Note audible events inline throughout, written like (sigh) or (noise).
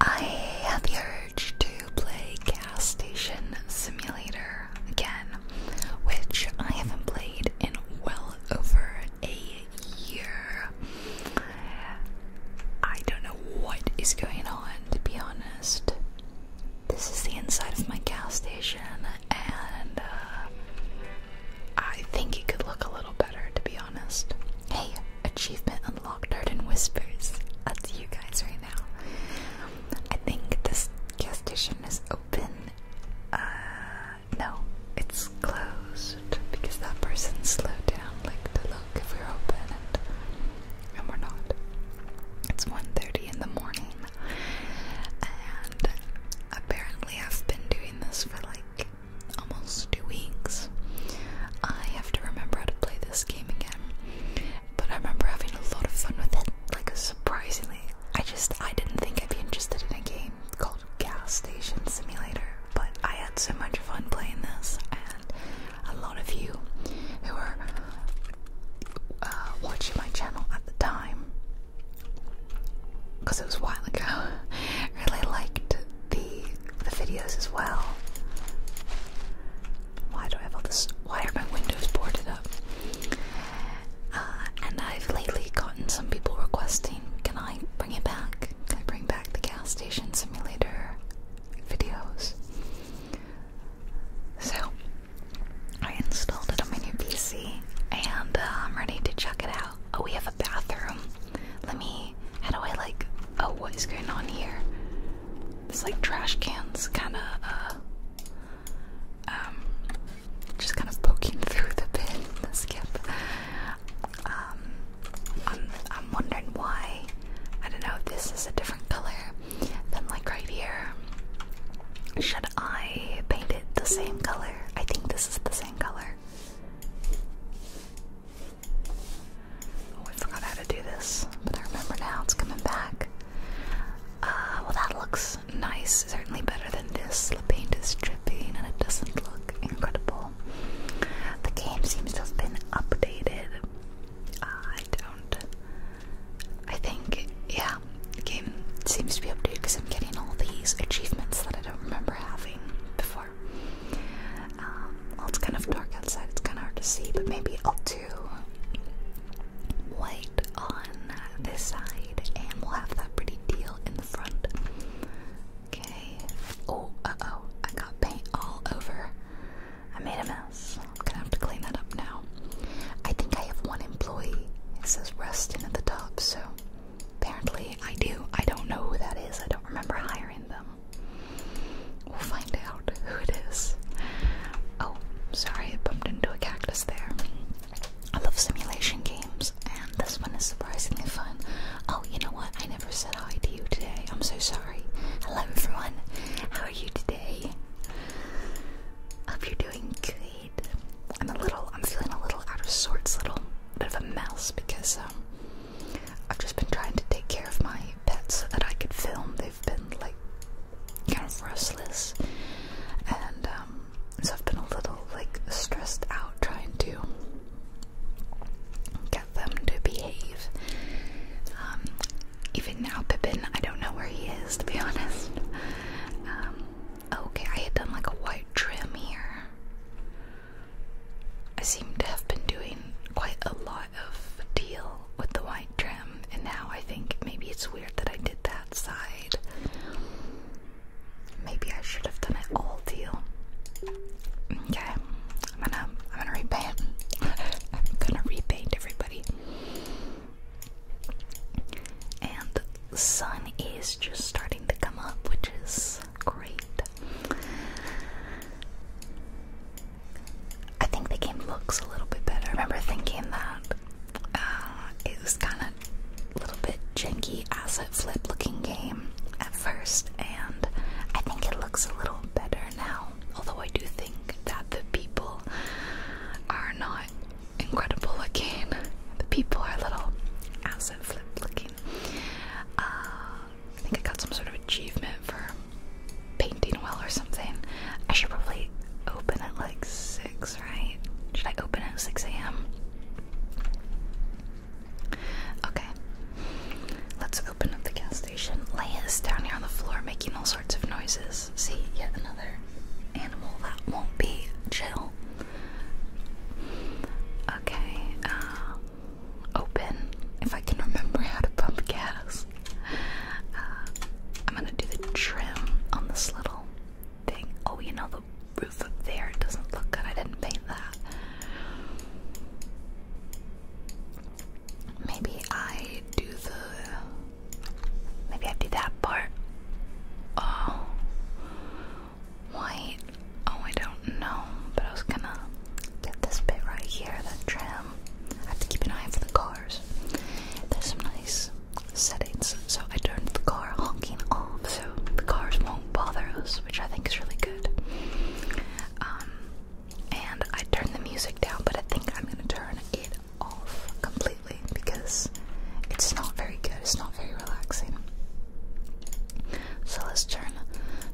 I have the urge to play Gas Station Simulator again, which I haven't played in well over a year. I don't know what is going on, to be honest. This is the inside of my gas station, and uh, I think it could look a little better to be honest. Hey, achievement unlocked Art and Whispers. That's you guys right now. I think this gas station is open. Uh, no, it's closed because that person slowed down like to look if we're open and, and we're not. It's 1.30 in the morning and apparently I've been doing this for like almost two weeks. I have to remember how to play this game again. But I remember having a lot of fun with it. Like surprisingly, I just I didn't think I'd be interested in a game called Gas Station Simulator, but I had so much fun playing this, and a lot of you who were uh, watching my channel at the time, because it was a while ago, (laughs) really liked the the videos as well. Why do I have all this? Why are my windows boarded up? Uh, and I've lately gotten some people requesting, can I bring it back? Can I bring back the gas station simulator videos? So I installed it on my new PC and uh, I'm ready to check it out. Oh, we have a bathroom. Let me how do I like? Oh, what is going on here? It's like trash cans, kind of, uh, um, just kind of poking (laughs) through the bin. skip. Um, I'm I'm wondering why. I don't know. This is a different color than like right here. Should I paint it the same color? I think this is the same color. Oh, I forgot how to do this, but I remember now it's coming back. Uh, well, that looks nice, certainly better than this. The paint is dripping and it doesn't look incredible. The game seems to have been updated. Uh, I don't. I think, yeah, the game seems to be updated because I'm getting all these achievements that I don't remember having before. Um, well, it's kind of dark outside, it's kind of hard to see, but maybe I'll do white on this side and we'll have that pretty deal in the front. Okay. Oh, uh oh, I got paint all over. I made a mess. I'm gonna have to clean that up now. I think I have one employee. It says resting at the top, so apparently I do. I don't know who that is. I don't remember hiring them. We'll find out who it is. Oh, sorry, I bumped into a cactus there. I love simulation games, and this one is surprisingly fun. Oh, you know what? I never said hi to you today. I'm so sorry. Hello, everyone. How are you today? Hope you're doing good. I'm a little, I'm feeling a little out of sorts, little bit of a mess because um, I've just been trying to take care of my pets so that I could film. They've been like kind of restless, and um, so I've been a little like stressed out trying to get them to behave. Um, even now, Pippin, I don't know where he is to be (laughs) honest. Um, okay, I had done like a white trim here. I seem to have been doing quite a lot of deal with the white trim, and now I think maybe it's weird that I did that side. Maybe I should have done it all deal. Okay, I'm gonna I'm gonna repaint. (laughs) I'm gonna repaint everybody. And the sun is just starting to come up, which is great. I think the game looks a little bit better. I remember thinking that uh, it was kind of a little bit janky asset flip looking game at first, and I think it looks a little better now. Although I do think that the people are not incredible looking, the people are a little asset flip looking. Um, I think I got some sort of achievement for painting well or something. I should probably open at like 6, right? Should I open at 6 a.m.? Okay. Let's open up the gas station. Lay is down here on the floor making all sorts of noises. See, yet another animal that won't be chill. Okay, um, open if I can remember how to pump gas. Uh, I'm gonna do the trim on this little thing. Oh, you know, the roof up there it doesn't look good. I didn't paint that. Maybe I do the. Maybe I do that part. Oh. White Oh, I don't know, but I was gonna get this bit right here, that tram. I have to keep an eye for the cars. There's some nice settings, so I turned the car honking off so the cars won't bother us, which I think is really good. Um, and I turned the music down, but I think I'm gonna turn it off completely because it's not very good, it's not very relaxing. So let's turn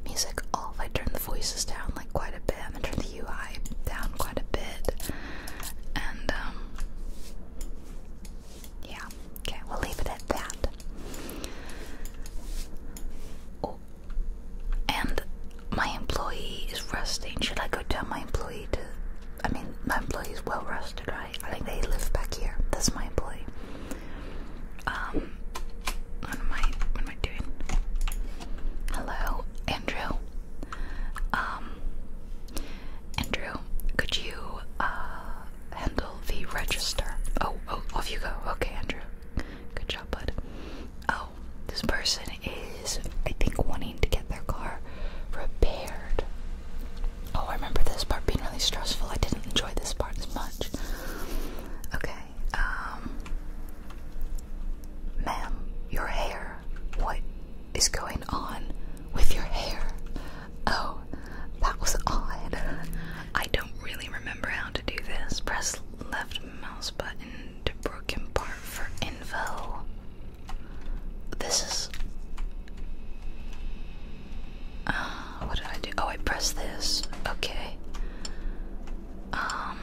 music off. I turned the voices down like quite a bit. I'm gonna turn the UI down quite a bit. And um, yeah, okay, we'll leave it at that. Oh, and my employee is resting. Should I go tell my employee to? I mean, my employee is well rested, right? I think they live back here. That's my employee. Um, what am I? What am I doing? Hello, Andrew. Um, Andrew, could you uh handle the register? Oh, oh, off you go. Okay, Andrew. Good job, bud. Oh, this person is, I think, wanting to get their car repaired. Oh, I remember this part being really stressful. I didn't enjoy this part as much. Okay, um, ma'am, your hair. What is going on with your hair? Oh, that was odd. I don't really remember how to do this. Press left mouse button to broken part for info. This is. Uh, what did I do? Oh, I press this. Okay. Um,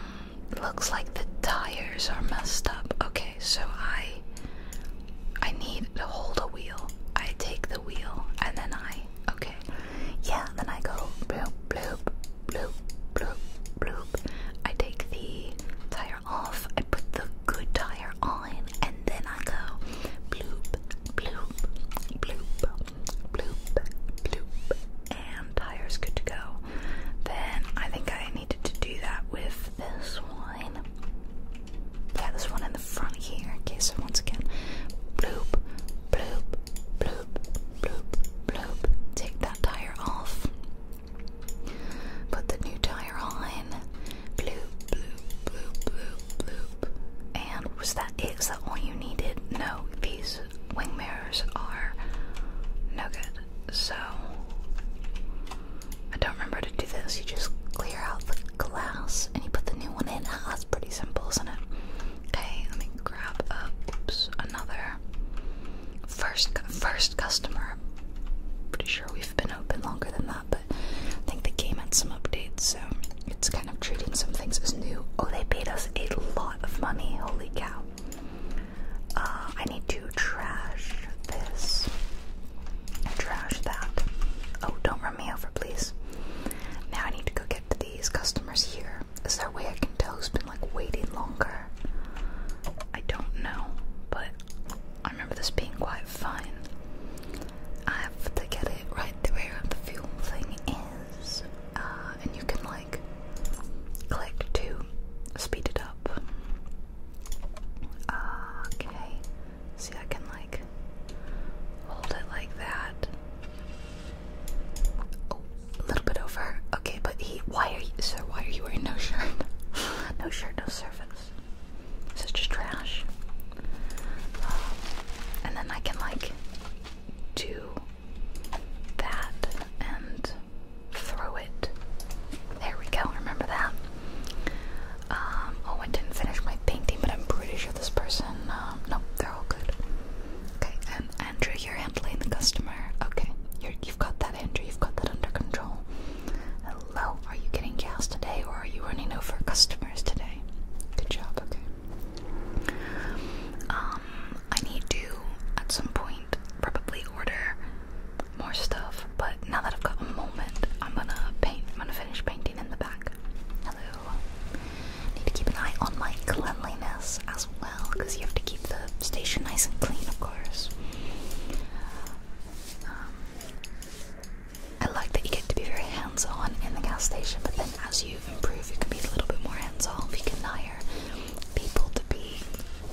looks like the tires are messed up. Okay, so I I need to hold a wheel. I take the wheel and then I okay. Yeah, then I go bloop bloop bloop bloop bloop. I take the tire off. I put the good tire on and then I go bloop bloop bloop bloop, bloop, and tire's good to go. Then I think I needed to do that with this one. Yeah, this one in the front here. Okay, so once again, bloop, bloop, bloop, bloop, bloop. Take that tire off. Put the new tire on. Bloop, bloop, bloop, bloop, bloop. And was that it? Is that all you needed? No, these wing mirrors are no good. So I don't remember to do this. You just clear out the glass and you put the new one in. Ah, that's pretty simple, isn't it? Okay, let me grab Oops, another first first customer. Pretty sure we've been open longer than that, but I think the game had some updates, so it's kind of treating some things as new. Oh, they paid us a lot of money. Holy cow. Uh, I need to trash this. Trash that. Oh, don't run me over, please. Now I need to go get these customers here. Is there a way I can tell who's been like waiting longer? I don't know, but I remember this being quite fun. I have to get it right where the fuel thing is. Uh, and you can like click to speed it up. okay, see, I can like hold it like that. Oh, a little bit over. Okay, but he. Why are you, sir? Why are you wearing no shirt? (laughs) no shirt, no service. Such trash. Um, and then I can like do that and throw it. There we go, remember that? Um, oh, I didn't finish my painting, but I'm pretty sure this person, um, Nope, they're all good. Okay, and Andrew, you're handling the customer. Okay, you you've got that, Andrew, you've got that under control. Hello, are you getting gas today or are you running over customers today? Good job, okay. Um, I need to at some point probably order more stuff, but now that I've got a moment, I'm gonna paint. I'm gonna finish painting in the back. Hello. Need to keep an eye on my cleanliness as well, because you have to keep the station nice and clean, of course. Um, I like that you get to be very hands on in the gas station, but then as you you improve, you can be a little bit more hands-off, you can hire people to be,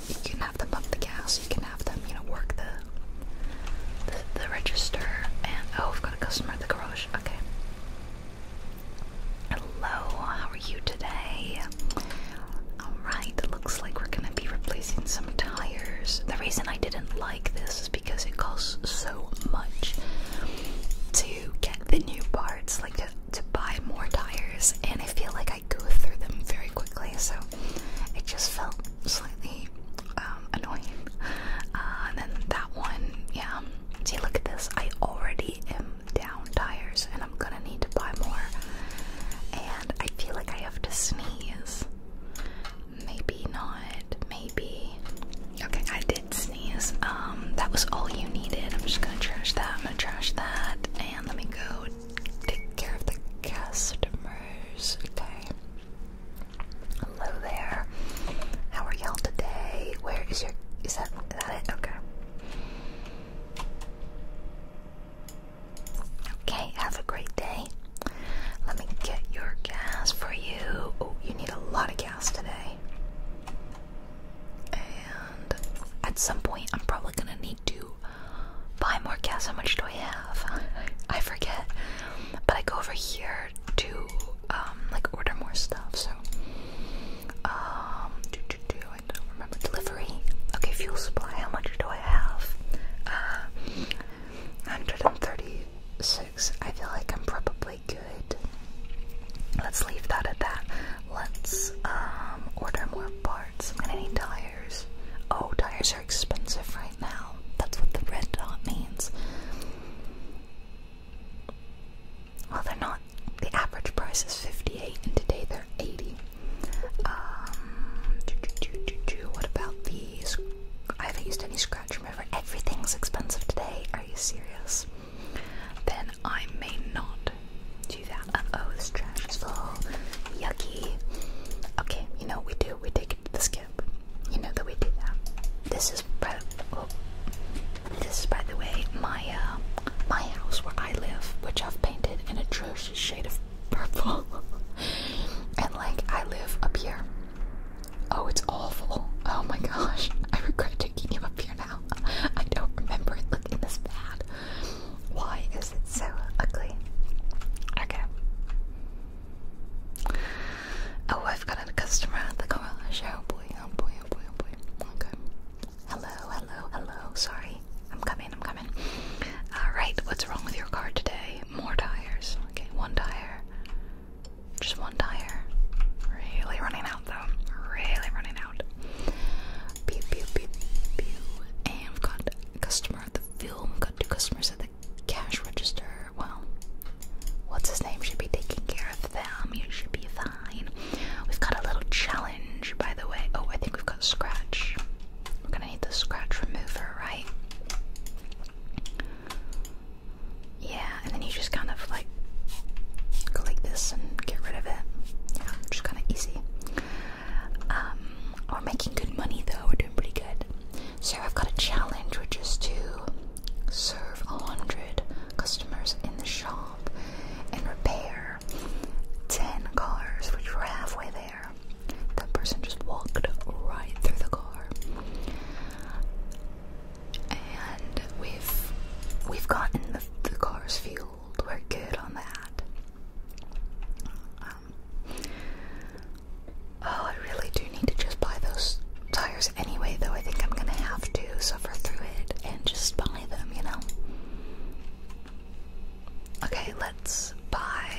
you can have them pump the gas, you can have them, you know, work the, the, the register, and, oh, I've got a customer at the garage, okay. Hello, how are you today? Alright, looks like we're gonna be replacing some tires. The reason I didn't like this is because it costs so much to to get the new parts, like to, buy more tires, and I feel like I go through them very quickly, so it just felt slightly um, annoying. Uh, and then that one, yeah. See, look at this. I already am down tires, and I'm gonna need to buy more. And I feel like I have to sneeze. Maybe not. Maybe. Okay, I did sneeze. Um, that was all you needed. I'm just gonna trash that. I'm gonna trash that. And let me go take care of the customers. Okay. Hello there. How are y'all today? Where is your is that is that it? Okay. Okay, have a great day. Let me get your gas for you. Oh, you need a lot of gas today. And at some point, I'm probably gonna need to buy more gas. How much do I have? (laughs) I forget. But I go over here to um, like order more stuff. So, um, do, do, do, I don't remember delivery. Okay, fuel supply. How much do I have? Uh, 136. I feel like I'm probably good. Let's leave that at that. Let's um, order more parts. i need tires. Oh, tires are expensive right now. That's what the red dot means. Well, they're not. The average price is 58, and today they're 80. Um, what about these? I haven't used any scratch remover. Everything's expensive today. Are you serious? then I may not do that. oh, this trash Yucky. Okay, you know we do? We take it to the skip. You know that we do that. This is by the, oh, this is by the way my uh, my house where I live, which I've painted in a atrocious shade of purple. (laughs) and like I live up here. Oh, it's awful. Oh my gosh. I regret taking you up here now. I don't remember it looking this bad. Why is it so ugly? Okay. Oh, I've got a customer at the garage. Oh boy, oh boy, oh boy, oh boy. Okay. Hello, hello, hello. Sorry. I'm coming, I'm coming. Alright, what's wrong with your car today? More tires. Okay, one tire. Just one tire. Really running out though. Really running out. Pew pew pew pew. And we've got a customer at the film. We've got two customers at the cash register. Well, what's his name should be taking care of them. You should be fine. We've got a little challenge, by the way. Oh, I think we've got scratch. We're gonna need the scratch remover, right? Yeah, and then you just kind of like go like this and get rid of it. Yeah, just kind of easy. Um, we're making good money though, we're doing pretty good. So I've got a challenge which is to serve a hundred customers in the shop and repair ten cars, which we're halfway there. That person just walked right through the car and we've we've gotten the, cars fueled. We're good on that. Um, oh, I really do need to just buy those tires anyway, though. I think I'm gonna have to suffer through it and just buy them, you know. Okay, let's buy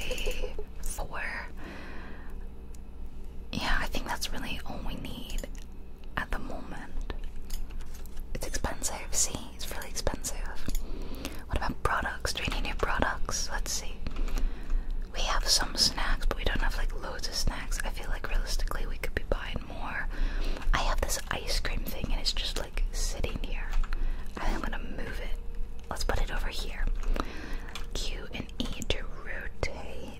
four. Yeah, I think that's really all we need at the moment. It's expensive, see? It's really expensive. What about products? Do we need new products? Let's see. We have some snacks, but we don't have like loads of snacks. I feel like realistically we could be buying more. I have this ice cream thing and it's just like sitting here. I think I'm gonna move it. Let's put it over here. Q and E to rotate.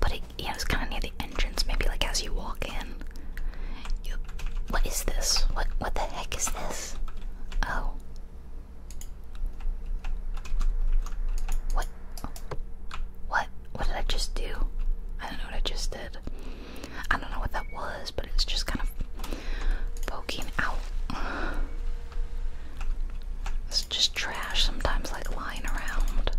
But it, yeah, it's kind of near the entrance. Maybe like as you walk in. what is this? What what the heck is this? Oh. What? What? What did I just do? I don't know what I just did. I don't know what that was, but it's just kind of poking out. It's just trash sometimes, like lying around.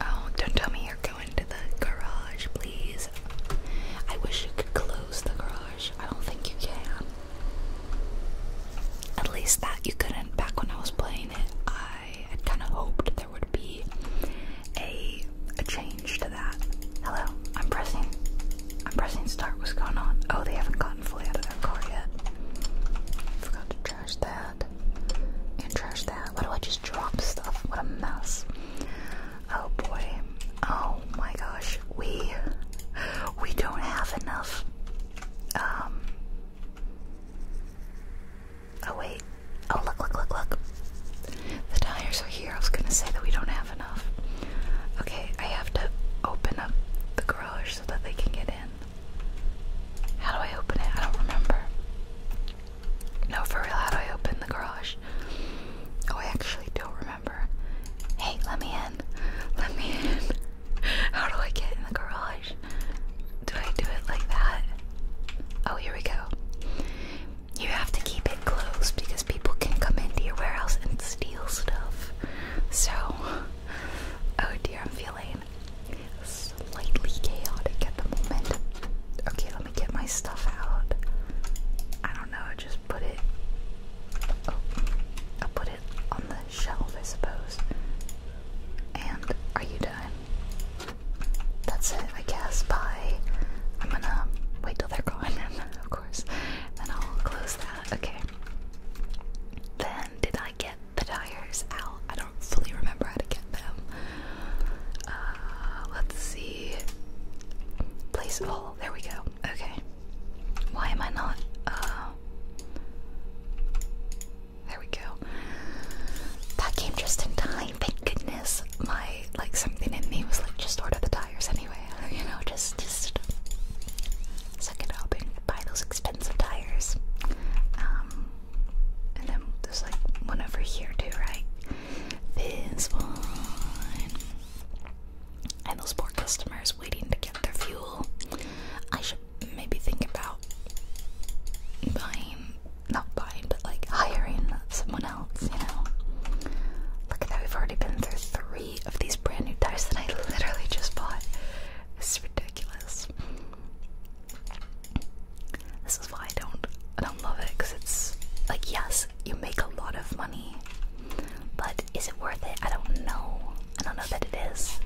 Oh, don't tell me you're going to the garage, please. I wish you could close the garage. I don't think you can. At least that you couldn't. Back when I was playing it, I had kind of hoped there would be a a change Hello, I'm pressing. I'm pressing start. What's going on? Oh, they haven't gotten fully out of their car yet. Forgot to trash that. And trash that. Why do I just drop stuff? What a mess. Oh boy. Oh my gosh. We we don't have enough. Um. Oh wait. Oh look look look look. The tires are here. I was gonna say that we don't have Okay, I have to open up the garage so that they can get in. How do I open it? I don't remember. No, for real, how do I open the garage? Oh, I actually don't remember. Hey, let me in. Let me in. (laughs) How do I get in the garage? Do I do it like that? Oh, here we go. You have to keep it closed because people can come into your warehouse and steal stuff. So, oh dear, I'm feeling slightly chaotic at the moment. Okay, let me get my stuff out. I don't know, just put it. Oh, I'll put it on the shelf, I suppose. And are you done? That's it, I guess. Bye. I'm gonna wait till they're gone (laughs) course. I'll close that. Okay. Then did I get the tires out? I don't fully remember how to get them. Uh, let's see. Place all. There we go. Okay. Why am I not? Uh, there we go. That came just in time. Thank goodness. My like something in me was like just order the tires anyway you know, just just suck it up and buy those expensive tires. Um, and then there's like one over here too, right? This one. And those poor customers waiting to get their fuel. I should maybe think about buying, not buying, but like hiring someone else, you know? Look at that, we've already been through three of these brand new dice that I literally just bought. This is ridiculous. This is why I don't I don't love it because it's like yes, you make a lot of money, but is it worth it? I don't know. I don't know that it is.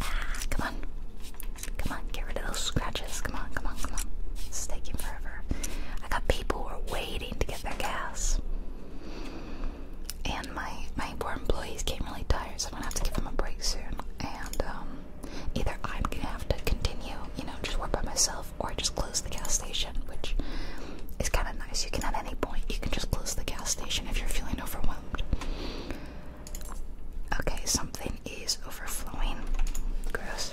Ah, come on, come on, get rid of those scratches. Come on, come on, come on. This is taking forever. I got people who are way waiting to get their gas. And my my poor employee's getting really tired, so I'm gonna have to give them a break soon. And um, either I'm gonna have to continue, you know, just work by myself, or I just close the gas station, which is kind of nice. You can at any point you can just close the gas station if you're feeling overwhelmed. Okay, something is overflowing. Gross.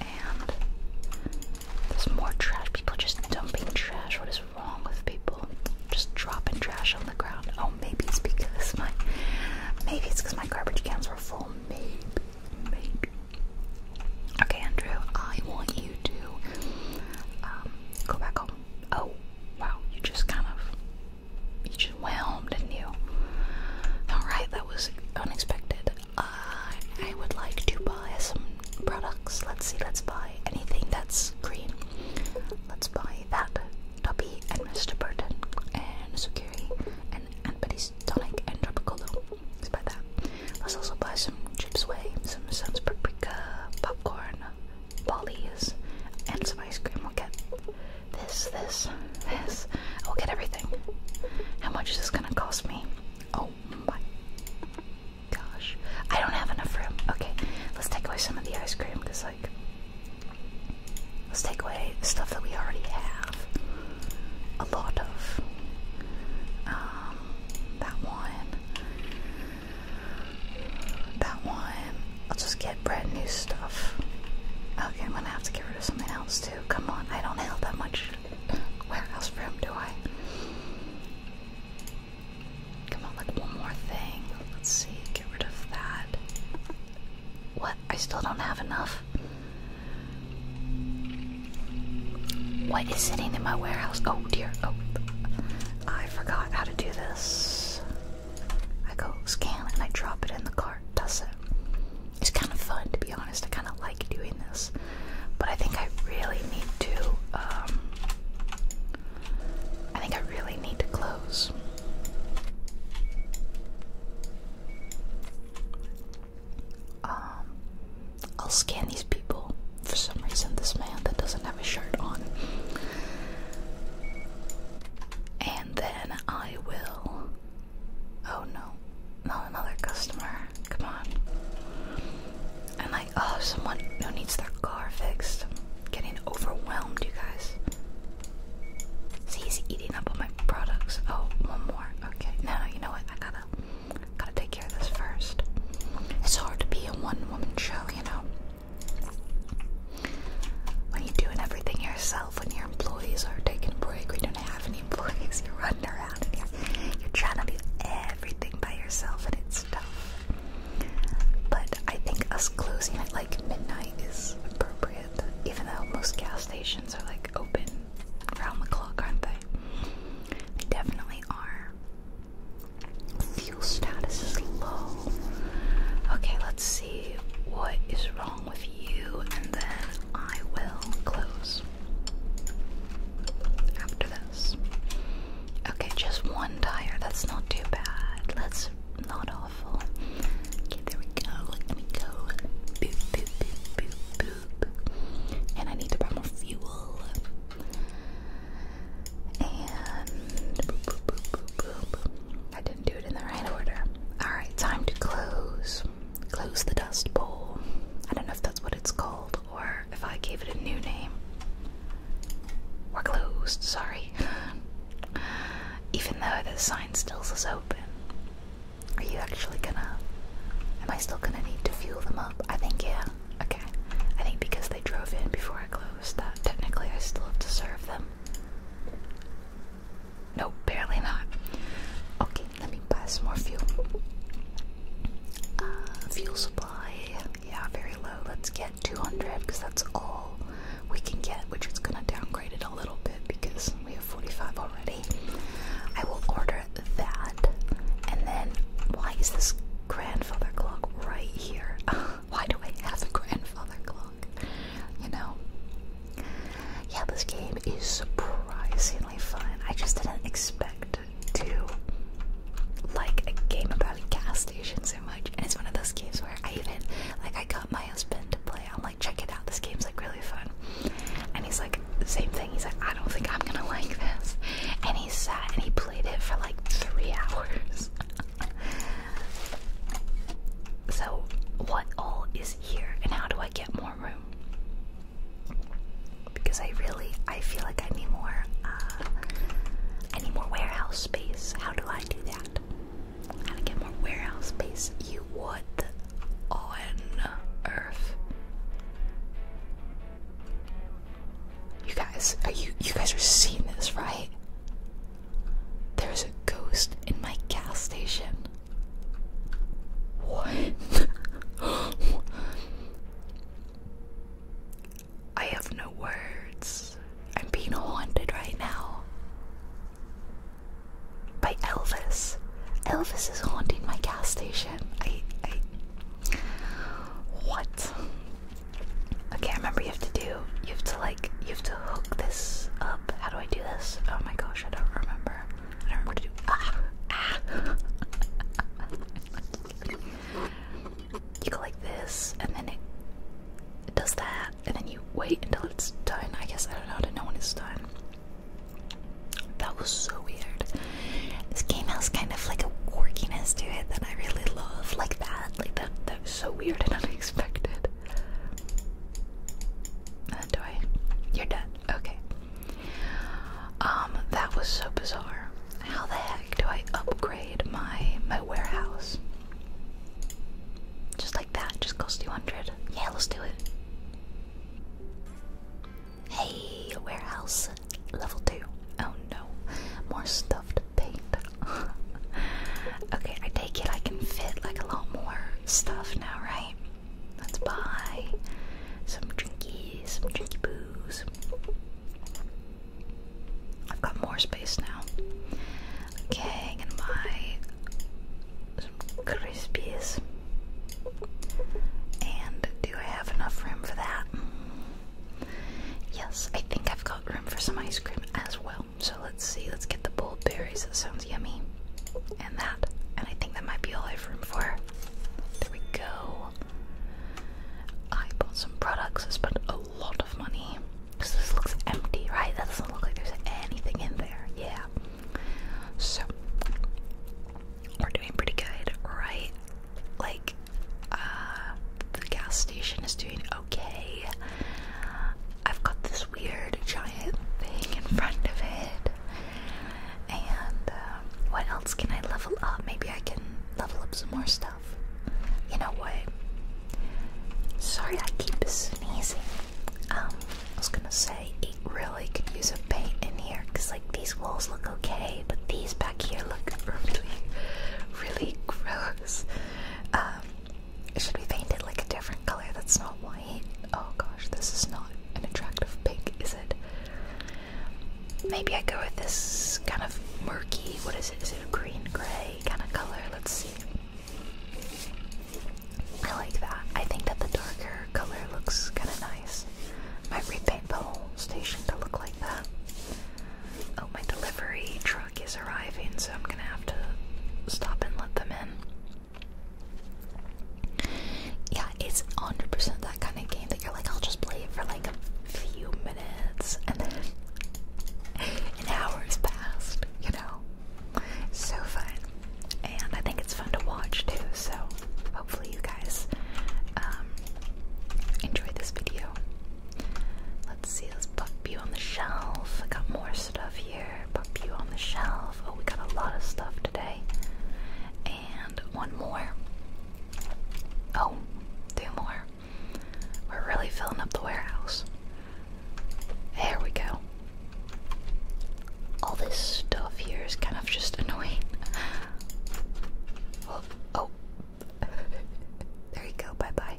And there's more trash. People just dumping trash. What is wrong with people? Just dropping trash on the ground. Oh, maybe it's because my maybe it's because my garbage cans were full. Maybe, maybe. Okay, Andrew, I want you to um, go back home. Oh, wow, you just kind of you just whelmed, didn't you? All right, that was unexpected. I would like to buy some products. Let's see, let's buy anything that's green. Let's buy that. Tuppy and Mr. Burton and Sukiri and Aunt Betty's Tonic and Tropicolo. Let's buy that. Let's also buy some chips way, some Sun's paprika, popcorn, Polly's, and some ice cream. We'll get this, this, this. I'll get everything. How much is this gonna cost me? Oh Oh, my gosh. I don't have enough room. Okay, let's take away some of the ice cream because, like, let's take away stuff that we already have. A lot of. Um, that one. That one. I'll just get brand new stuff. Okay, I'm gonna have to get rid of something else too. Come on, I don't have that much where else from do I? Come on, like one more thing. Let's see, get rid of that. What? I still don't have enough. What is sitting in my warehouse? Oh dear. Oh, I forgot how to do this. I go scan and I drop it in the cart. Does it? it's kind of fun to be honest. I kind of like doing this, but I think I really need to. Um, I think I really need to close. Um, I'll scan these people. For some reason, this man that doesn't have a shirt on. And then I will. Oh no, not another customer. Come on. And like, oh, someone who needs their car fixed. I'm getting overwhelmed, you guys. See, he's eating up all my products. Oh, one more. Okay. No, you know what? I gotta, gotta take care of this first. It's hard to be a one-woman show, you know. When you're doing everything yourself, when your employees are taking break, you don't have (laughs) You're running around you're, trying to do everything by yourself, and it's tough. But I think us closing at like midnight is appropriate, even though most gas stations are like open around the clock, aren't they? They definitely are. Fuel status is low. Okay, let's see what is wrong with you, and then I will close after this. Okay, just one tire. That's not too bad. That's not awful. there we go. Let me go. Boop, boop, boop, boop, boop. And I need to buy more fuel. And boop, boop, boop, boop, boop. I didn't do it in the right order. Alright, time to close. Close the Dust Bowl. I don't know if that's what it's called or if I gave it a new name. We're closed, sorry. (laughs) Even though the sign still says open. Are you actually gonna. Am I still gonna need to fuel them up? I think, yeah. Okay. I think because they drove in before I closed that, technically I still have to serve them. No, barely not. Okay, let me buy some more fuel. Uh, fuel supply, yeah, very low. Let's get 200 because that's all we can get, which is gonna downgrade it a little bit because we have 45 already. I will order that, and then why is this grandfather clock right here? (laughs) why do I have a grandfather clock? You know, yeah, this game is surprisingly fun. I just didn't expect to like a game about gas stations so much. And it's one of those games where I even like I got my husband to play. I'm like, check it out. This game's like really fun. And he's like, same thing. He's like, I don't think I'm gonna (laughs) like this. And he sat and he played it for like three (laughs) hours. so what all is here and how do I get more? because I really I feel like I need more uh, I need more warehouse space. How do I do that? How to get more warehouse space? You would on earth. You guys, are you you guys are seeing this, right? There's a ghost in my gas station. What? (gasps) I have no words. I'm being haunted right now. By Elvis. Elvis is haunting my gas station. I I What? Okay, I remember you have to do you have to like you have to hook this up. How do I do this? Oh my gosh, I don't remember. Ah. you go like this, and then it, does that, and then you wait until it's done. I guess I don't know how to know when done. That was so weird. This game has kind of like a quirkiness to it that I really love, like that. Like that. That was so weird and (laughs) unexpected. And uh, You're done. Okay. Um, that was so bizarre. How the heck do I upgrade my my warehouse? Just like that, just cost you hundred. Yeah, let's do it. Hey, warehouse level two. Oh no, more stuff to paint. (laughs) okay, I take it I can fit like a lot more stuff now, right? Let's buy some drinkies, some drinky boos. I've got more space now. Okay, I can buy some crispies. And do I have enough room for that? Yes, I think I've got room for some ice cream as well. So let's see, let's get the bold berries. That sounds yummy and that. And I think that might be all I have room for. There we go. I bought some products. I spent a lot of money. Because this looks empty, right? That doesn't look like there's anything in there. Yeah. So, we're doing pretty good, right? Like, uh, the gas station is doing okay. I've got this weird giant thing in front of it. And uh, what else can I level up? Maybe I can level up some more stuff. You know what? Sorry, I keep sneezing. Um, I was gonna say it really could use a paint in here, cause like these walls look okay, but these back here look really, really gross. Um, should we paint it like a different color that's not white? Oh gosh, this is not an attractive pink, is it? Maybe I go with this kind of murky. What is it? Is it green gray kind of color? Let's see. I like that. I think that the darker color looks kind of nice. Might repaint the whole station to look like that. Oh, my delivery truck is arriving, so I'm gonna have to stop and let them in. Yeah, it's 100% that kind of game that you're like, I'll just play it for like a few minutes and then (laughs) hour's passed, you know? So fun. And I think it's fun to watch too, so hopefully you guys um, enjoy this video. Let's see, this us pop you on the shelf. I got more stuff here. Pop you on the shelf. Oh, we got a lot of stuff today. And one more. Oh, two more. We're really filling up the warehouse. There we go. All this stuff here is kind of just (laughs) annoying. Oh, oh. (laughs) there you go, bye bye.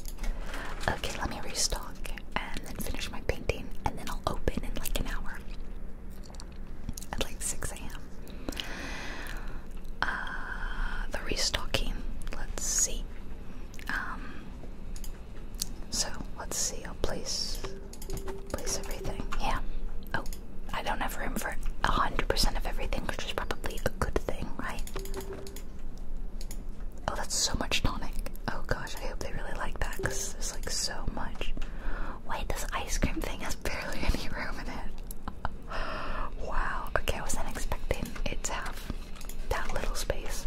Okay, let me restock and then finish my painting and then I'll open in like an hour at like 6 a.m. Uh, the restocking, let's see. Um, so let's see, I'll place, place everything. Yeah. Oh, I don't have room for 100% of everything, which is probably a good thing, right? Oh, that's so much tonic. Oh gosh, I hope they really like that because there's like so much. Wait, this ice cream thing has barely any room in it. (laughs) wow, okay, I wasn't expecting it to have that little space.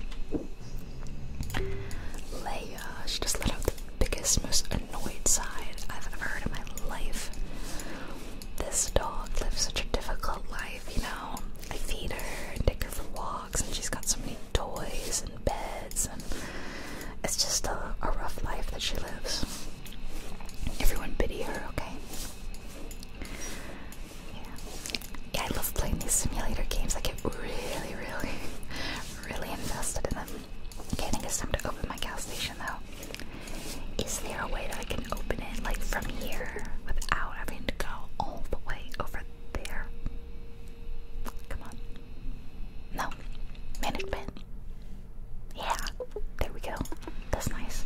Leia, she just let out the biggest, most annoyed side I've ever heard in my life. This dog lives such a difficult life, you know. I feed her and take her for walks, and she's got so many toys beds, and it's just a, rough life that she lives. Everyone pity her, okay? Yeah. I love playing these simulator games. I get really, really, really invested in them. Okay, I think it's time to open my gas station though. Is there a way that I can open it like from here without having to go all the way over there? Come on. No. Management. Yeah. There we go. That's nice.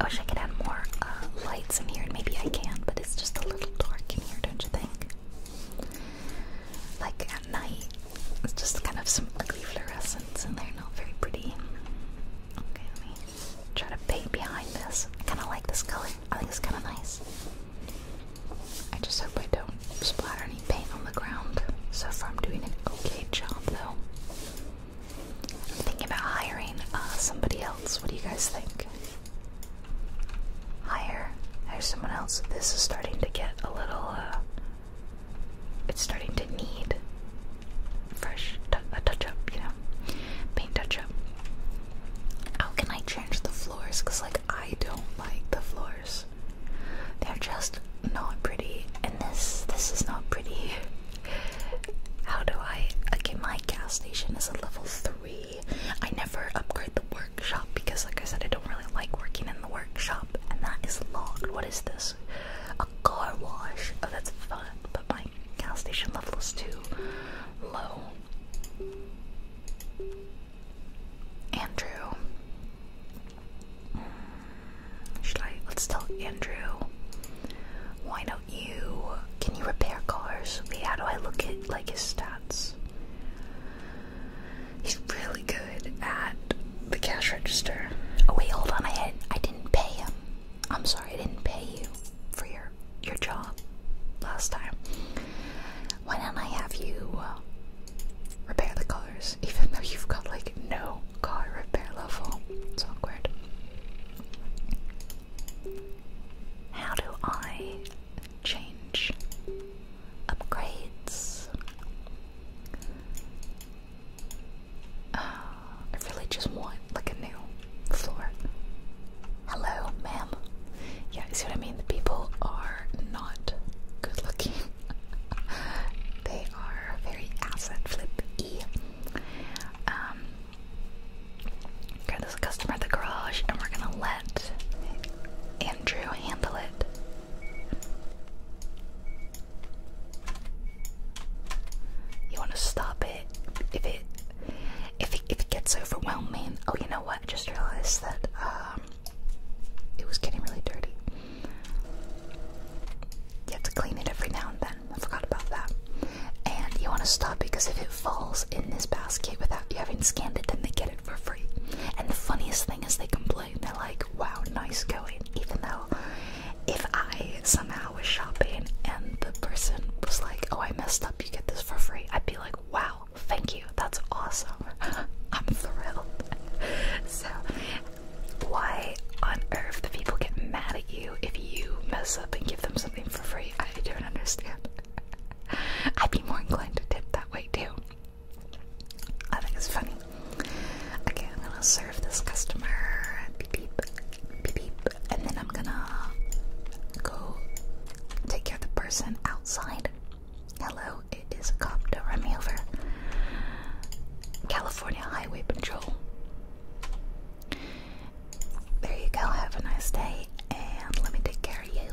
I wish I could add more uh, lights in here, maybe I can, but it's just a little dark in here, don't you think? Like at night, it's just kind of some ugly fluorescents, and they're not very pretty. Okay, let me try to paint behind this. I kind of like this color. I think it's kind of nice. I just hope I don't splatter any paint on the ground. So far, I'm doing an okay job though. I'm thinking about hiring uh, somebody else. What do you guys think? Hire, hire someone else. This is starting to get a little. Uh, it's starting to need fresh a touch up, you know, paint touch up. How can I change the floors? Cause like I don't like the floor they're just not pretty, and this this is not pretty. (laughs) How do I? Okay, my gas station is a level three. I never upgrade the workshop because, like I said, I don't really like working in the workshop, and that is locked. What is this? A car wash? Oh, that's fun. But my gas station level is too low. Andrew. Mm, should I? Let's tell Andrew. Why don't you? Can you repair cars? Wait, how do I look at like his stats? He's really good at the cash register. Oh wait, hold on. I had I didn't pay him. I'm sorry, I didn't pay you for your your job last time why don't I have you uh, repair the cars, (laughs) even though you've got like no car repair level? It's awkward. How do I change upgrades? Uh, I really just want like a new floor. Hello, ma'am you see what I mean? The people are not good looking. (laughs) they are very asset flippy. Um, okay, there's customer at the garage, and we're gonna let Andrew handle it. You want to stop it if it if it, if it gets overwhelming. Oh, you know what? I just realized that um, it was getting really dirty. You have to clean it every now and then. I forgot about that. And you want to stop because if it falls in this basket without you having scanned it, then they get it for free. And the funniest thing is they complain. They're like, wow, nice going. Even though if I somehow was shopping and the person was like, oh, I messed up, you get this for free, I'd be like, wow, thank you. That's awesome. (laughs) I'm thrilled. so, why on earth do people get mad at you if you mess up and give them something for free? I don't understand. (laughs) I'd be more inclined to tip that way too. I think it's funny. Okay, I'm gonna serve this customer. Beep beep. Beep And then I'm gonna go take care of the person outside. Hello, it is a cop. Don't run me over. California Highway Patrol. There you go. Have a nice day, and let me take care of you.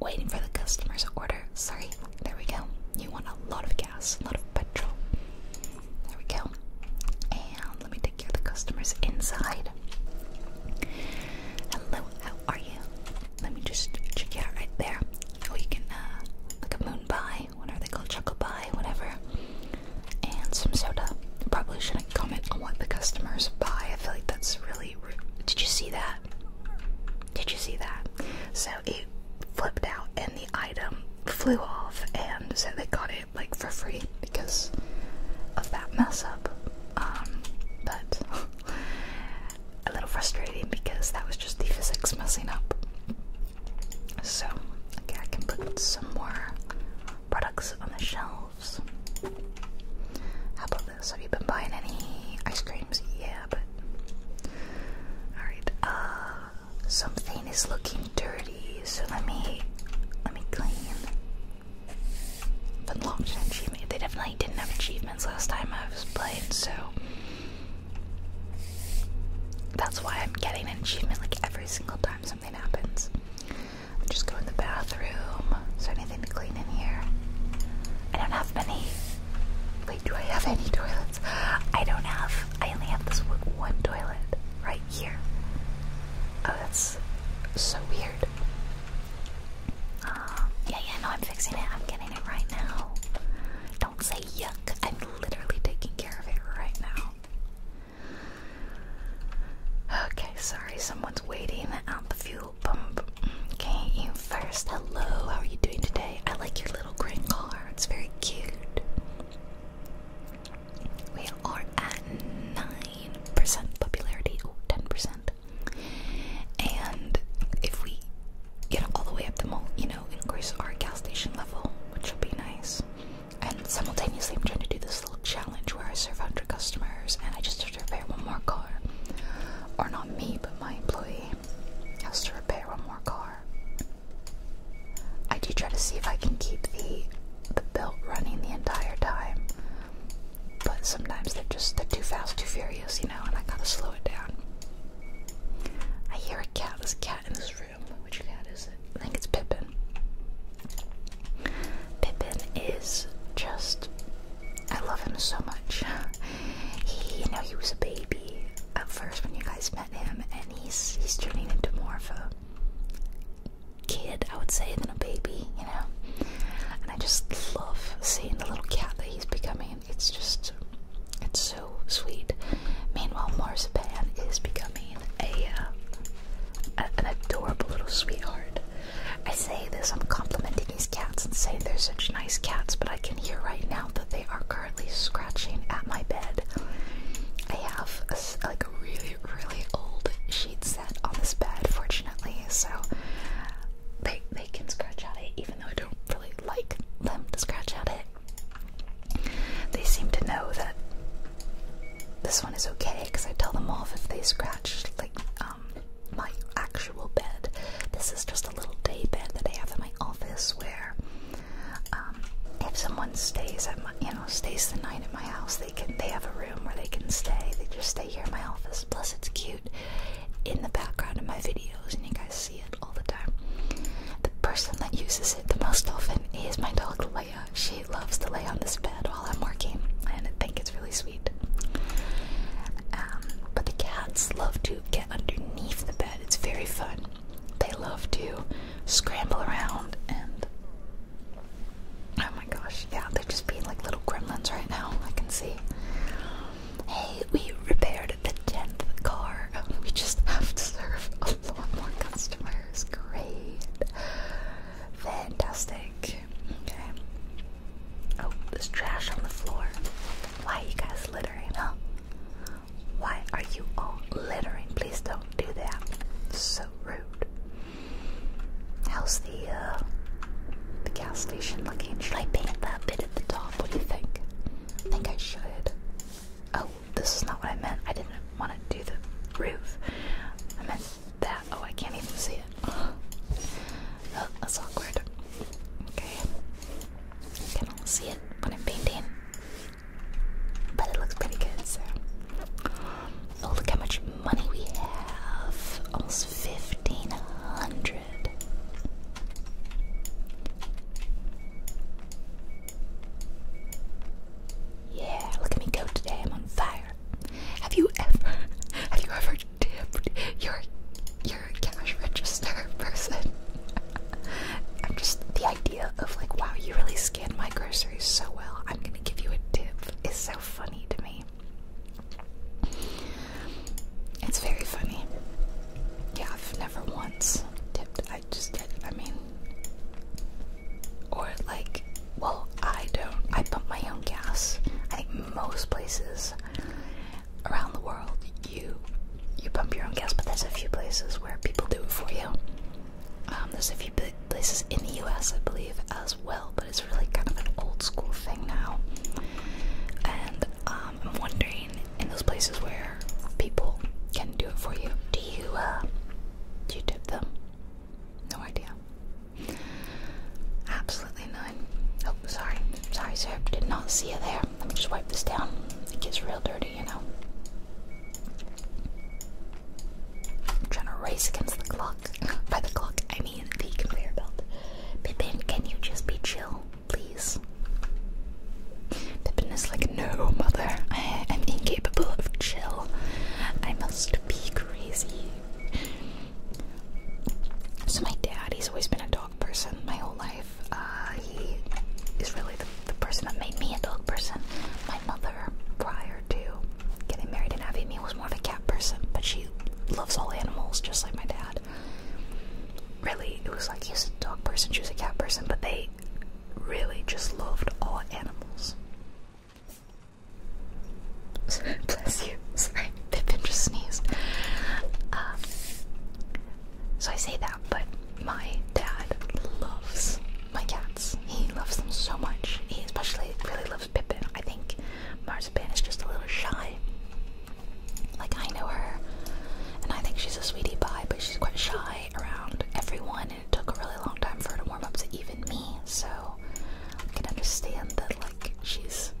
Waiting for the customer's order. Sorry. There we go. You want a lot of gas, a lot of petrol. There we go. And let me take care of the customers inside. Hello, how are you? Let me just check you out right there. Oh, you can, uh, like a moon pie, what are they called? Chuckle pie, whatever. And some soda. Probably shouldn't comment on what the customers buy. I feel like that's really rude. Did you see that? Did you see that? So it flipped out and the item flew off, and so they got it like for free because of that mess up. Um, but (laughs) a little frustrating because that was just the physics messing up. So, okay, I can put some more products on the shelves. How about this? Have you been buying any ice creams? Yeah, but. Alright, uh, Something is looking dirty, so let me. Let me clean unlocked an achievement. They definitely didn't have achievements last time I was playing, so that's why I'm getting an achievement like every single time something happens. I'm just going to the bathroom. Is there anything to clean in here? I don't have many. Wait, do I have any toilets? I don't have. I only have this one toilet right here. Oh, that's so weird yeah, yeah, no, I'm fixing it. I'm getting it right now. Don't say yuck. I'm literally taking care of it right now. Okay, sorry, someone's waiting at the fuel pump. Okay, you first. Hello, how are you doing today? I like your little green car, it's very cute. We are at 9% popularity. Oh, 10%. And if we get all the way up the mall, you know, increase our gas station level, which will be nice. And simultaneously, I'm trying to do this little challenge where I serve 100 customers and I just have to repair one more car. Or not me, but my employee has to repair one more car. I do try to see if I can keep the the belt running the entire time but sometimes they're just they're too fast, too furious, you know, and I gotta slow it down. I hear a cat. There's a cat in this room. Which cat is it? I think it's Pippin. Pippin is just I love him so much. He you know, he was a baby at first when you guys met him and he's he's turning into more of a kid, I would say, than a baby, you know. I just love seeing the little cat that he's becoming. It's just, it's so sweet. Meanwhile, Marzipan is becoming a, uh, an adorable little sweetheart. I say this, I'm complimenting these cats and say they're such nice cats, but I can hear right now that they are currently scratching at my bed. I have like a really, really old sheet set on this bed, fortunately, so they they can scratch at it, even though I don't really like them to scratch at it. They seem to know that this one is okay because I tell them off if they scratch like um, my actual bed. This is just a little day bed that I have in my office where um, if someone stays at you know stays the night in my house, they can they have a room where they can stay. They just stay that here in my office. Plus, it's cute in the background of my videos, and you guys see it all the time. The person that uses it the most often is my dog Leia. She loves to lay on this bed while I'm working, and I think it's really sweet. Um, but the cats love to get underneath the bed, it's very fun. They love to scramble around and um, Oh my gosh, yeah, they're just being like little gremlins right now. I can see. Hey, we repaired the tenth car. (laughs) We just have to serve a lot more customers. Great, fantastic. Okay. Oh, there's trash on the floor. Why are you guys littering, huh? Why are you all littering? Please don't do that. It's So rude. How's the uh, the gas station looking. Should I paint that bit at the top? What do you think? I think I should. Oh, this is not what I meant. I didn't want to do the roof. I meant that. Oh, I can't even see it. (gasps) Oh, that's awkward. Okay. I can not see it when I'm painting. But it looks pretty good, so. Oh, look how much money we have. Almost 1500. Yeah, look at me go today. I'm on fire. Have you ever (laughs) have you ever dipped your your cash register (laughs) person? I'm just the idea of like wow, you really scanned my groceries so well. I'm gonna give you a tip is so funny to me. It's very funny. Yeah, I've never once tipped. I just did. I mean, or like, well, I don't. I pump my own gas. I think most places around the world, you you pump your own gas, but there's a few places where people do it for you. Um, there's a few places in the U.S. I believe as well, but it's really kind of an old school thing now. And um, I'm wondering, in those places where people can do it for you, do you uh, do you tip them? No idea. Absolutely none. Oh, sorry, sorry, sir. Did not see you there. Let me just wipe this down. It gets real dirty, you know. I'm trying to race against the clock. By the clock, I mean the conveyor belt. Pippin, can you just be chill, please? Pippin is like, no, mother, I am incapable of chill. I must be crazy. So my dad, he's always been a dog person my whole life. Uh, he is really the, the person that made me a dog person. My mother, prior to getting married and having me, was more of a cat person, but she loves all animals just like my dad. Really, it was like he a dog person, she was a cat person, but they really just loved all animals. (laughs) Bless you. Pippin (laughs) just sneezed. Um, so I say that, but my dad loves my cats. He loves them so much. He especially really loves Pippin. I think Marzipan is just a little shy. Like, I know her, and I think she's a sweetie pie, but she's quite shy around everyone, and it took a really long time for her to warm up to even me, so I can understand that, like, she's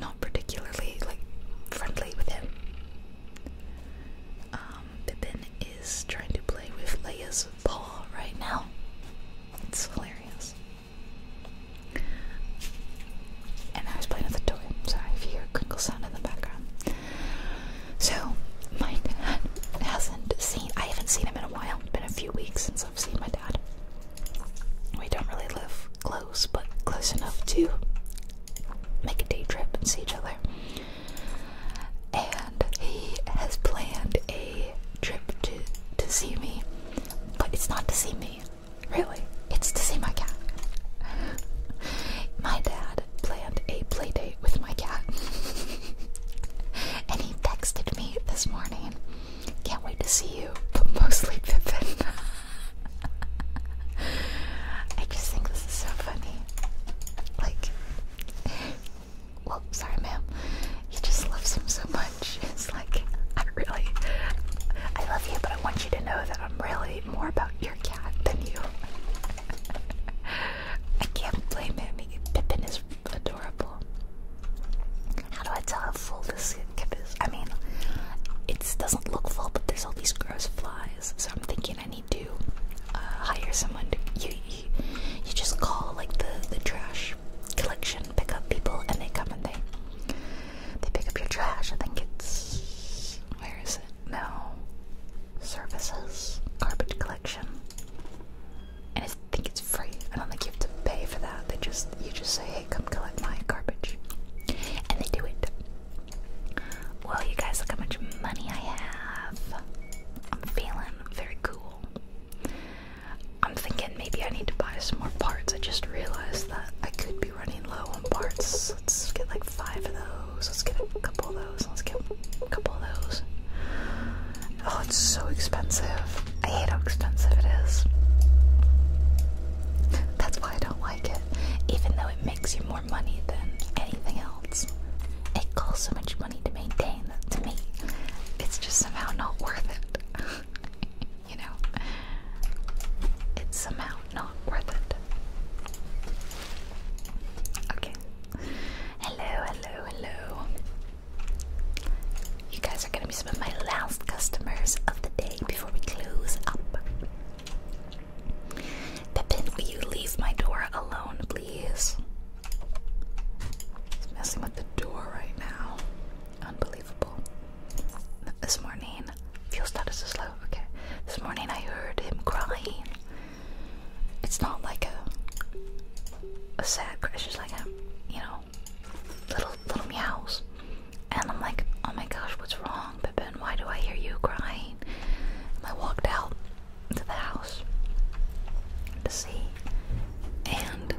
not particularly, like, friendly with him. Um, is trying to play with Leia's paw right now. It's hilarious. And I was playing with a toy. Sorry if hear a crinkle sound in the background. So my dad hasn't seen I haven't seen him in a while. It's been a few weeks since I've seen my dad. We don't really live close, but close enough to make a day trip and see each other. And he has planned a trip to to see me. But it's not to see me. Really? It's to see my cat. (laughs) my dad planned a play date with my cat. (laughs) and he texted me this morning. Can't wait to see you, but mostly Pippin. (laughs) I just think this is so funny. Like, well, sorry, ma'am. He just loves him so much. It's like, I really, I love you, but I want you to know that I'm really more about your cat than you. (laughs) I can't blame him. He, Pippin is adorable. How do I tell how full this kip is? I mean, it doesn't look full, but there's all these gross flies. So I'm thinking I need to uh, hire someone to. You, you, you just call like the the trash collection pick up people, and they come and they they pick up your trash. I think it's. Where is it? No. Services. Garbage collection. And I think it's free. I don't think you have to pay for that. They just. You just say, hey, come collect my garbage. And they do it. Well, you guys, look how much money I have. I'm feeling very cool. I'm thinking maybe I need to buy some more parts. I just realized that I could be running low on parts. Let's get like five of those. Let's get a couple of those. Let's get a couple of those. Oh, it's so expensive. I hate how expensive it is. That's why I don't like it. Even though it makes you more money than anything else, it costs so much money to maintain that to me. It's just somehow not worth it. (laughs) you know, it's somehow not worth it. Okay. Hello, hello, hello. You guys are gonna be some of my last customers of the day before we close up. Pippin, will you leave my door alone, please? It's messing with the door right now. Unbelievable. This morning, fuel status is low. Okay. This morning I heard him crying. It's not like a a sad cry. It's just like a you know little little meows. And I'm like, oh my gosh, what's wrong, Pippin? Why do I hear you crying? And I walked out to the house to see, and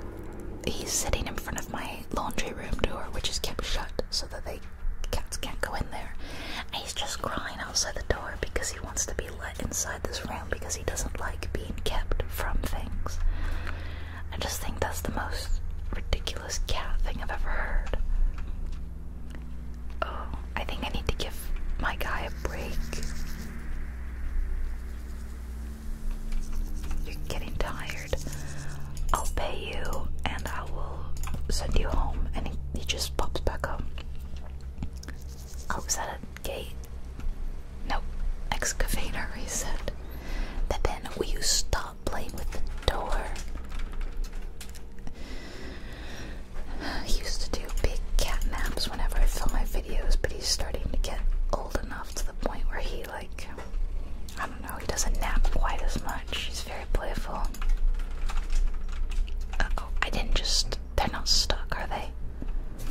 he's sitting in front of my laundry room door, which is kept shut so that the cats can't go in there. And he's just crying outside the door because he wants to be let inside this room because he doesn't like being kept from things. I just think that's the most ridiculous cat thing I've ever heard. Oh, I think I need to give my guy a break. You're getting tired. I'll pay you and I will send you home. And he, just pops back up. Oh, was that a gate? No, Excavator He said. But then will you stop playing with the door? I used to do big cat naps whenever I film my videos, but he's starting to get old enough to the point where he like, I don't know, he doesn't nap quite as much. He's very playful. Uh, oh, I didn't just. They're not stuck, are they?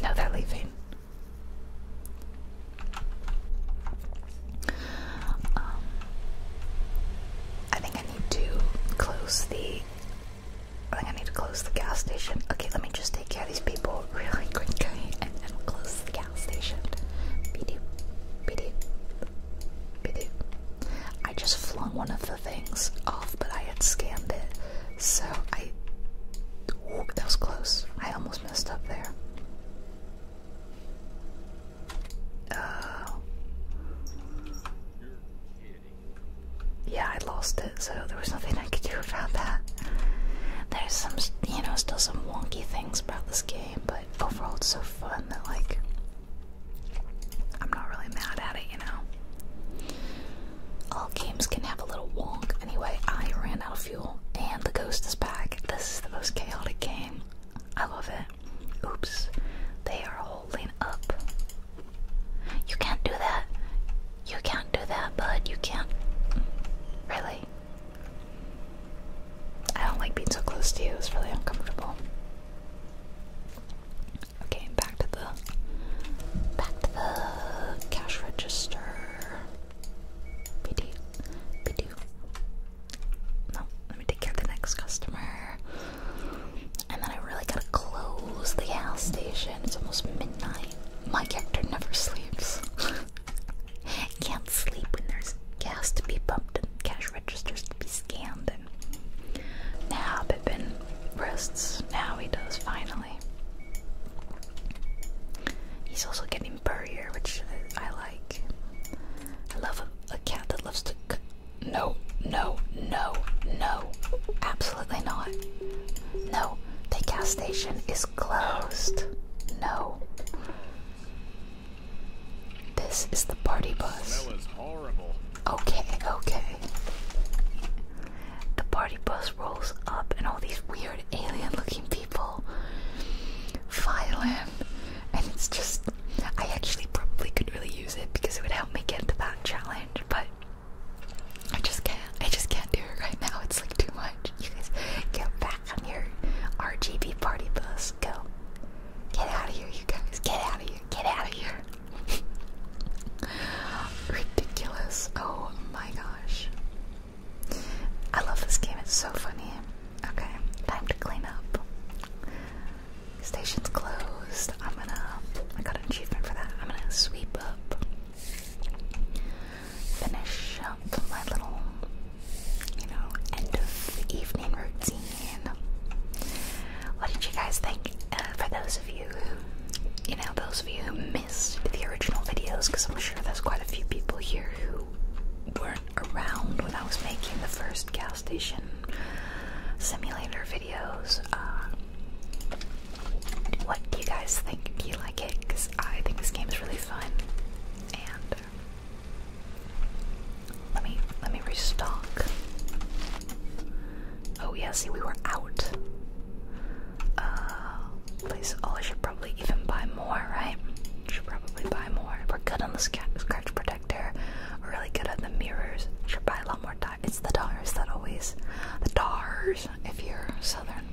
No, they're leaving. Um, I think I need to close the. I think I need to close the gas station. Okay, let me just take care of these people really quickly and then close the gas I just flung one of the things off, but I had scanned it, so I. that was close. I almost messed up there. Uh, yeah, I lost it, so there was nothing I could do about that. There's some, you know, still some wonky things about this game, but overall it's so fun that like I'm not really mad at it, you know. All games can have a little wonk. Anyway, I ran out of fuel and the ghost is back. This is the most chaotic game. I love it. Oops. They are holding up. You can't do that. You can't do that, bud. You can't. Really? I don't like being so close to you, it's really uncomfortable. Okay, back to the back to the cash register. Bidoo. Bidoo. No, let me take care of the next customer. And then I really gotta close the gas station. It's almost midnight. My character never sleeps. (laughs) Can't sleep when there's gas to be pumped and cash registers to be scanned. And now Pippin rests. Now he does finally. He's also getting burrier, which I, like. I love a, cat that loves to. C no, no, no, no. Absolutely not. No, the gas station is closed. No. This is the party bus. That was horrible. Okay, okay. The party bus rolls up, and all these weird alien looking people file in. And it's just. I actually probably could really use it because it would help me get to that challenge, but I just can't. I just can't do it right now. It's like too much. You guys get back back your RGB party bus. Go. Get out of here, you guys. Get out of here. Get out of here. (laughs) Ridiculous. Oh my gosh. I love this game. It's so funny. Okay, time to clean up. Station's closed. I'm gonna. I got an achievement for that. I'm gonna sweep up finish up my little, you know, end of the evening routine. What did you guys think? Uh, for those of you who, you know, those of you who missed the original videos, because I'm sure there's quite a few people here who weren't around when I was making the first gas station simulator videos. Uh, what do you guys think? Do you like it? Because I think this game is really fun. Uh, let me let me restock. Oh yeah, see we were out. Uh, please. Oh, I should probably even buy more, right? Should probably buy more. We're good on the scratch protector. We're really good at the mirrors. Should buy a lot more. Di it's the dollars that always the dollars. If you're southern,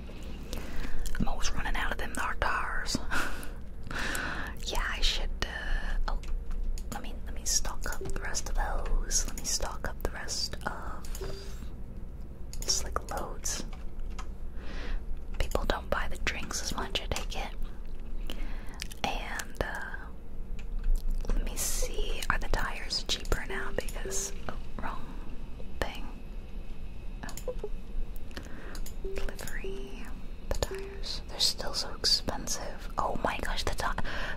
I'm always running out of them darn tires. (laughs) yeah, I should. Uh, oh, let me let me stock up the rest of those. Let me stock up the rest of just like loads. People don't buy the drinks as much. as they it. And uh, let me see. Are the tires cheaper now? Because oh, wrong thing delivery. The tires. They're still so expensive. Oh my gosh, the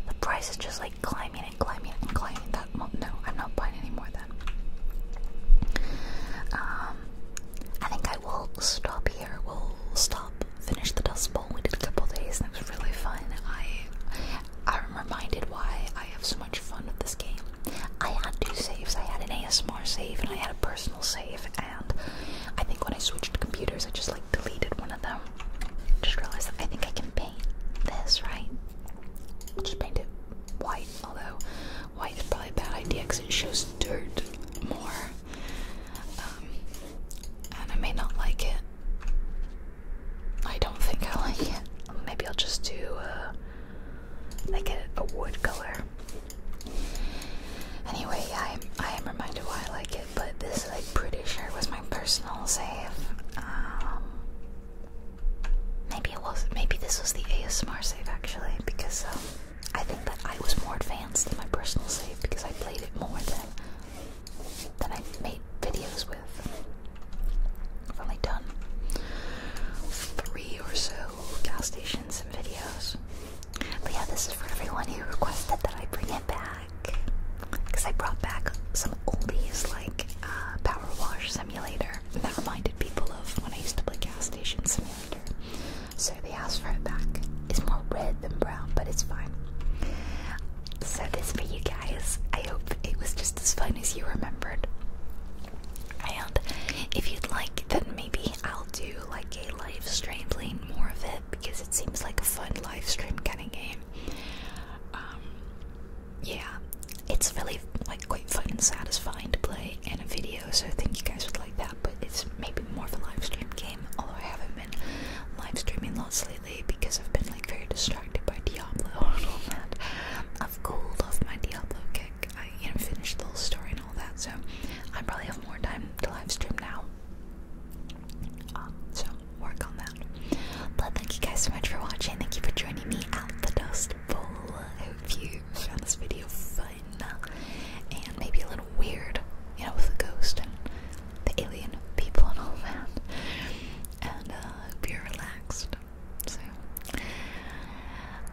the price is just like climbing and climbing and climbing. That no, I'm not buying any more then. Um I think I will stop here. We'll stop, finish the dust bowl. We did a couple days and it was really fun. I I'm reminded why I have so much fun with this game. I had two saves. I had an ASMR save and I had a personal save. And I think when I switched computers, I just like deleted one of them. Just realized that I think I can paint this, right? Just paint it white, although white is probably a bad idea because it shows dirt more. Um, and I may not like it. I don't think I like it. Maybe I'll just do uh, I get a wood color. Anyway, yeah, I, I am reminded why I like it, but this like pretty sure was my personal save. Um, maybe it was. Maybe this was the ASMR save actually, because um, I think that I was more advanced in my personal save because I played it more than than I made videos with. I've only done three or so, gas stations and videos. But yeah, this is for everyone who requested that I bring it back. Because I brought back some oldies like uh, Power Wash Simulator that reminded people of when I used to play Gas Station Simulator. So they asked for it back. It's more red than brown, but it's fine. So, this for you guys. I hope it was just as fun as you remembered. And if you'd like, then maybe I'll do like a live stream playing more of it because it seems like a fun live stream kind of game. Um, yeah, it's really like quite fun and satisfying to play in a video, so thank you guys for like that. But it's maybe more of a live stream game, although I haven't been live streaming lots lately because I've been like very distracted by Diablo and all that. I've cooled off my Diablo kick you know, finish the whole story and all that. So I probably have more time to live stream now. Um, so work on that. But thank you guys so much for watching. Thank you for joining me out the Dust Bowl. I hope you found this video fun and maybe a little weird, you know, with the ghost and the alien people and all that. And uh, hope you're relaxed so,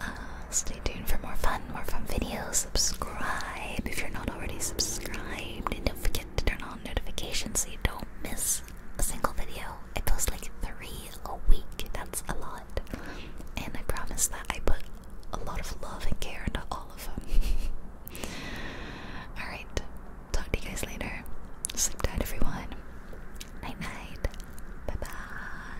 uh, stay tuned for more fun, more fun videos. Subscribe if you're not already subscribed, and don't forget to turn on notifications so you don't miss a single video. I post like three a week. That's a lot, and I promise that I put a lot of love and care into all of them. (laughs) all right, talk to you guys later. Sleep tight, everyone. Night night. Bye bye.